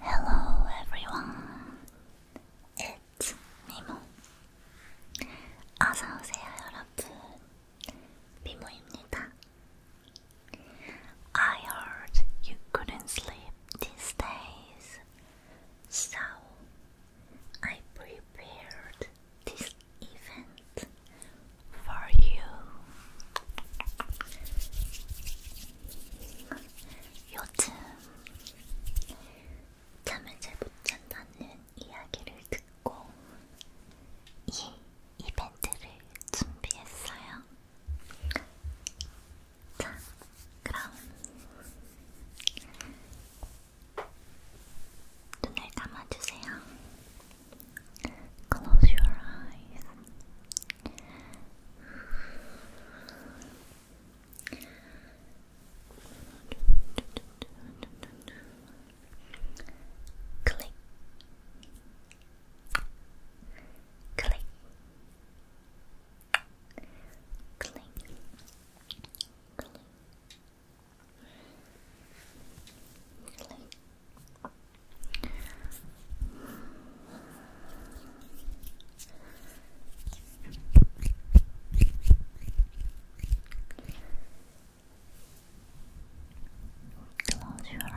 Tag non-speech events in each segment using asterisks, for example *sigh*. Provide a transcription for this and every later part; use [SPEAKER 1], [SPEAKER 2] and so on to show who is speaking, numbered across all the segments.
[SPEAKER 1] Hello everyone, it's 미모. 어서 오세요 여러분, I heard you couldn't sleep these days, so I prepared this event for you. 요즘 잠을 잘 못 잔다는 이야기를 듣고 이 이벤트를 준비했어요. 자, 그럼 눈을 감아주세요. Close your eyes. Click. Click. Click. Click. Really? Close your eyes.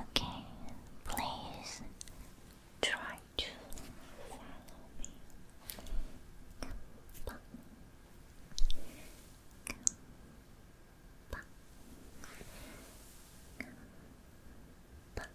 [SPEAKER 1] Okay, please try to follow me.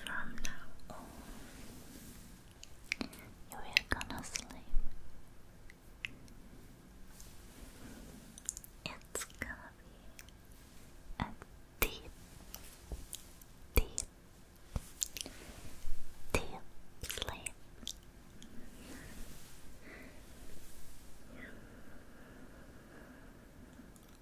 [SPEAKER 1] From now on, you are gonna sleep. It's gonna be a deep, deep, deep sleep.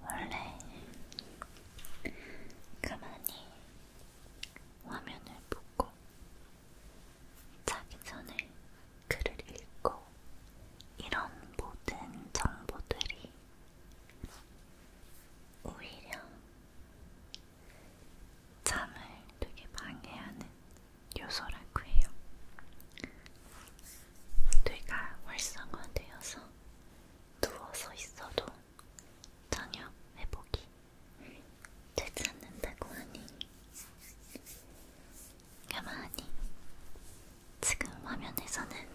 [SPEAKER 1] 원래 가만히 화면을 보고 자기 전에 글을 읽고 이런 모든 정보들이 오히려 잠을 되게 방해하는 요소라고 해요. 뇌가 활성화되어서 누워서 있어도 전혀 회복이 되지 않는다고 하니 가만히 지금 화면에서는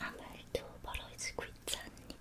[SPEAKER 1] 아무 일도 벌어지고 있지 않니?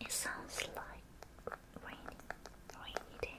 [SPEAKER 1] It sounds like rainy, rainy day.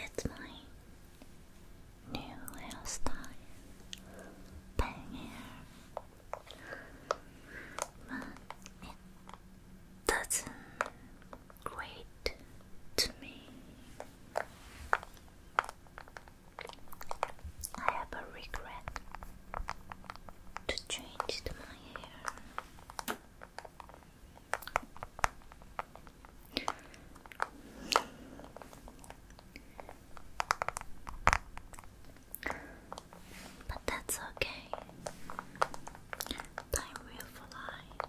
[SPEAKER 1] It's my new hairstyle, but it doesn't great to me. I have a regret to change to my hair. But that's okay. Time will fly.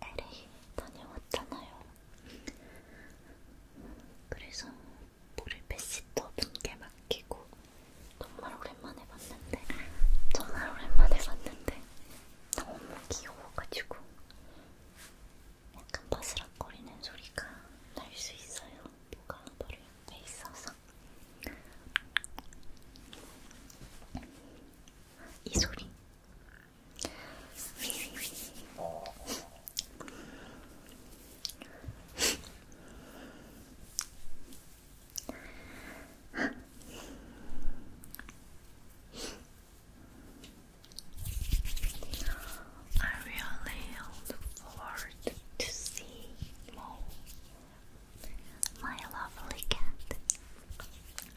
[SPEAKER 1] LA 다녀왔잖아요. 그래서 머리 베시터 분께 맡기고 정말 오랜만에 봤는데 정말 오랜만에 봤는데 너무 귀여워가지고 약간 바스락거리는 소리가 날 수 있어요. 뭐가 머리 옆에 있어서 이 소리 I really look forward to see my lovely cat.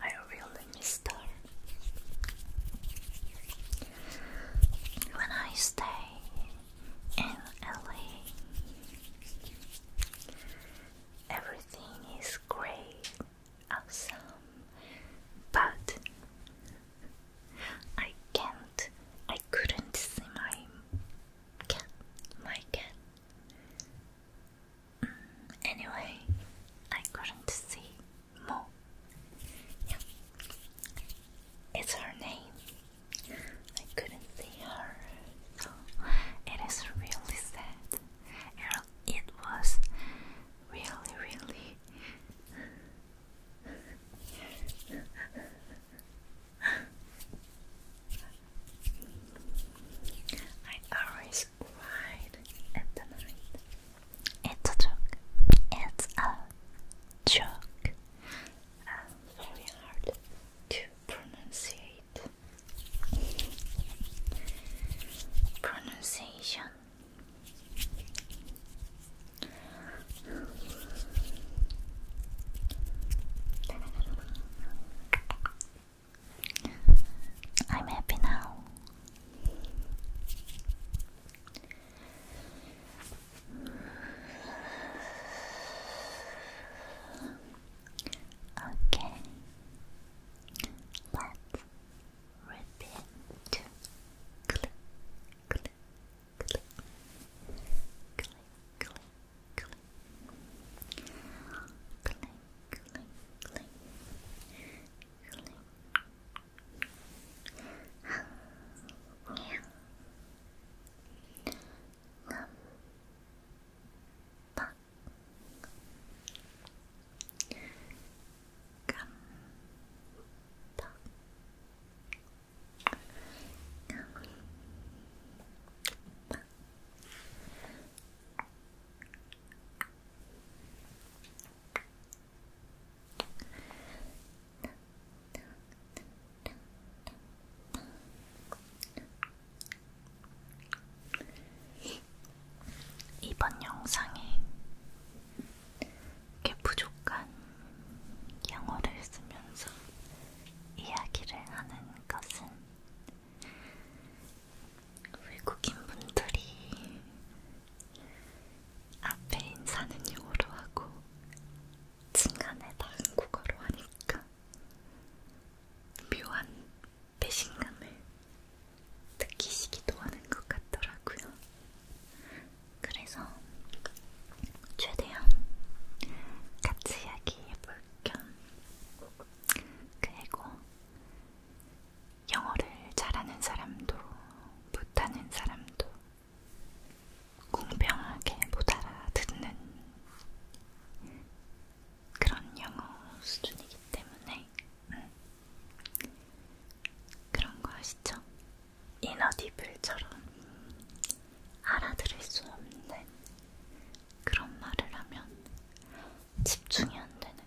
[SPEAKER 1] I really missed her. When I stay in LA, everything is great, awesome, but I can't, I couldn't see my cat, my cat. Anyway, I'm going see Mo. Yeah. It's her name. I couldn't see her, it is really sad. Er, it was really, really. *laughs* I always it's right at the night. It's a joke. It's a joke. Uh, very hard to pronunciate. Pronunciation. I'm happy now. Okay, let's repeat. Click, click, click, click, click, click, click, clink, clink, clink, clink. yeah. Number Gum Gum 이번 영상에 이렇게 부족한 영어를 쓰면서 이야기를 하는 것은 외국인 분들이 앞에 인사는 영어로 하고 중간에 다 한국어로 하니까 묘한 배신감을 느끼시기도 하는 것 같더라고요. 그래서 최대한 같이 이야기해볼 겸 그리고 영어를 잘하는 사람도 못하는 사람도 공평하게 못 알아듣는 그런 영어 수준이기 때문에 음. 그런 거 아시죠? 인어디블처럼 알아들을 수 없는 그런 말을 하면 집중이 안 되는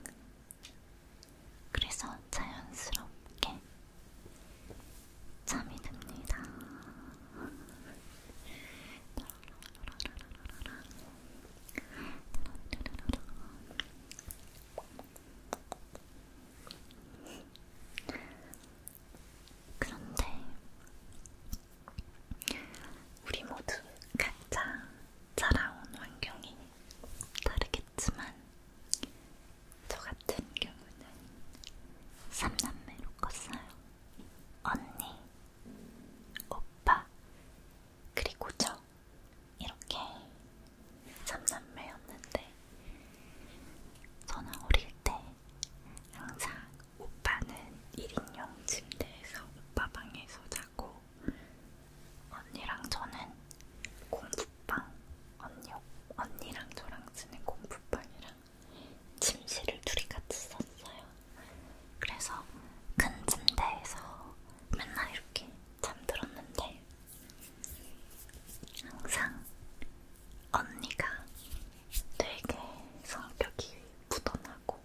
[SPEAKER 1] 그래서 자연스럽게 잠이 듭니다. 그런데 우리 모두 각자 자라온 환경이 다르겠지만 저 같은 경우는 3남매로 컸어요. 언니, 오빠, 그리고 저 이렇게 3남매였는데 저는 어릴 때 항상 오빠는 1인용 침대에서 오빠 방에서 자고 언니랑 저는 공부방 언니, 언니랑 저랑 쓰는 공부방이랑 침실을 둘이 같이 썼어요. 그래서 큰 침대에서 맨날 이렇게 잠들었는데 항상 언니가 되게 성격이 부단하고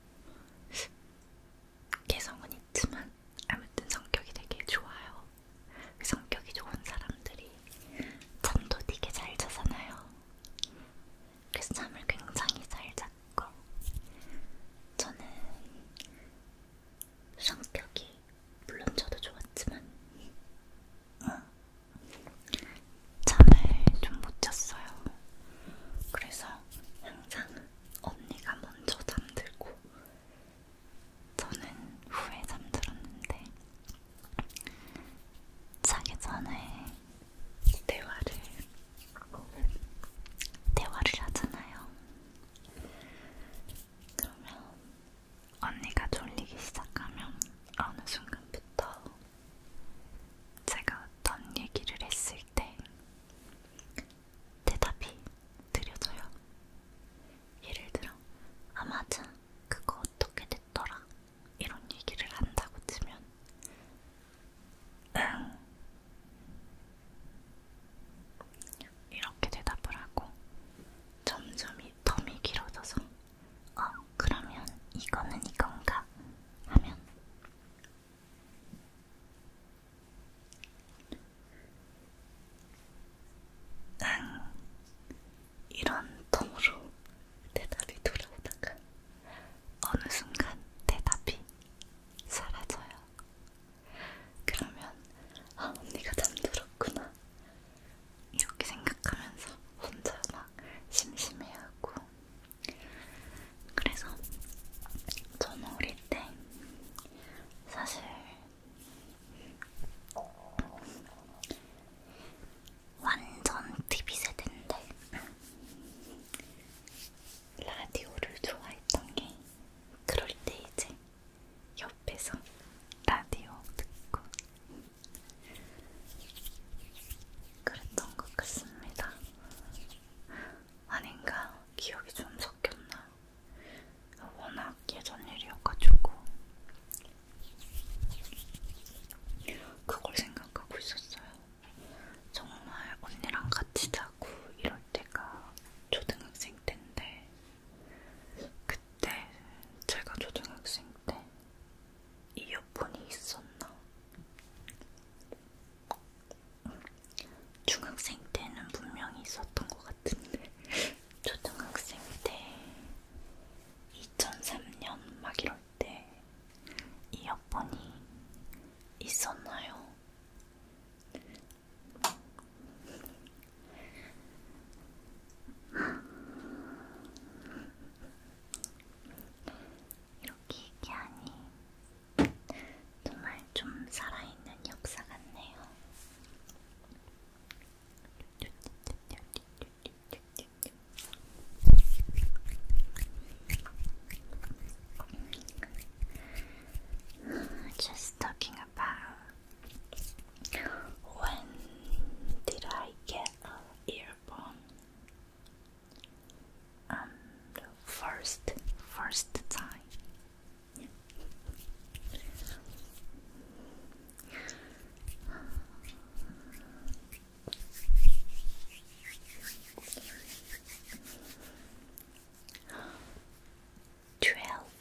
[SPEAKER 1] 개성은 있지만 아무튼 성격이 되게 좋아요. 성격이 좋은 사람들이 잠도 되게 잘 자잖아요. 그래서 잠을 굉장히 잘 잤고 저는 성격이 물론 저도 좋았지만 어, 잠을 좀 못 잤어요. 그래서 항상 언니가 먼저 잠들고 저는 후에 잠들었는데 자기 전에 대화를 대화를 하잖아요. 그러면 언니가 졸리기 시작하면 어느 순간부터 제가 어떤 얘기를 했을 때 대답이 느려져요. 예를 들어, 아 맞아, 그거 어떻게 됐더라? 이런 얘기를 한다고 치면 응 이렇게 대답을 하고 점점 이 텀이 길어져서 어 그러면 이거는 이건가 하면 응. 이런 텀으로 대답이 돌아오다가 어느 순간 대답이 사라져요. 그러면 아 언니가 잠들었구나 이렇게 생각하면서 혼자 막 심심해하고 그래서 저는 어릴 때 사실 완전 TV 세대인데 라디오를 좋아했던 게 그럴 때 이제 옆에서 라디오 듣고 그랬던 것 같습니다. 아닌가? 기억이 좀 섞였나? 워낙 예전 일이어가지고 그걸 생각하고 있었어요. 정말 언니랑 같이 자고 이럴 때가 초등학생 때인데 그때 제가 초등학생 때 이어폰이 있었나? 중학생 때는 분명히 있었던 것 같은데 *laughs* 초등학생 때 2003년 막 이럴 때 이어폰이 있었나요? 여기 이게 아니 정말 Just talking about when did I get an earphone? Um, first, first time Twelve.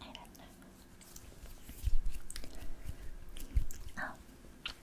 [SPEAKER 1] I don't know. Oh.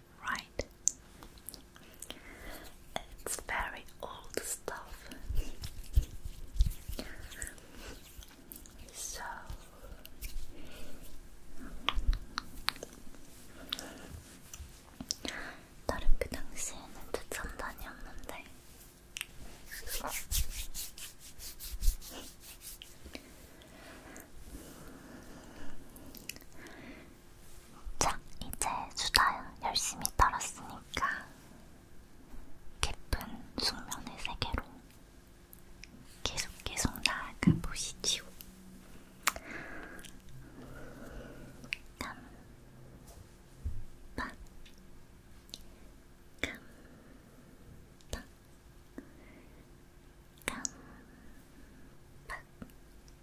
[SPEAKER 1] right? It's very old stuff. so 나름 그 당시에는 최첨단이었는데 자, 이제 수다 열심히 떨었으니까 깊은 숙면의 세계로 계속 계속 나아가 보시지요. 깜빡 깜빡 깜빡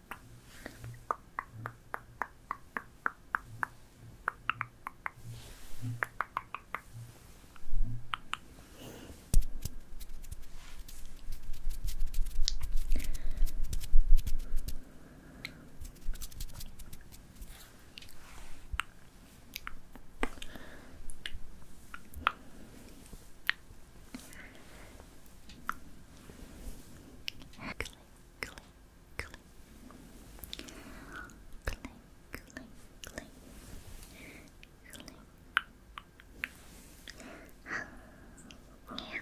[SPEAKER 1] click, click, click, click, click, click, click. yeah. Number Gumpa,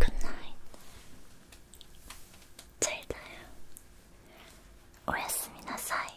[SPEAKER 1] Good night. ついだよ。おやすみなさい。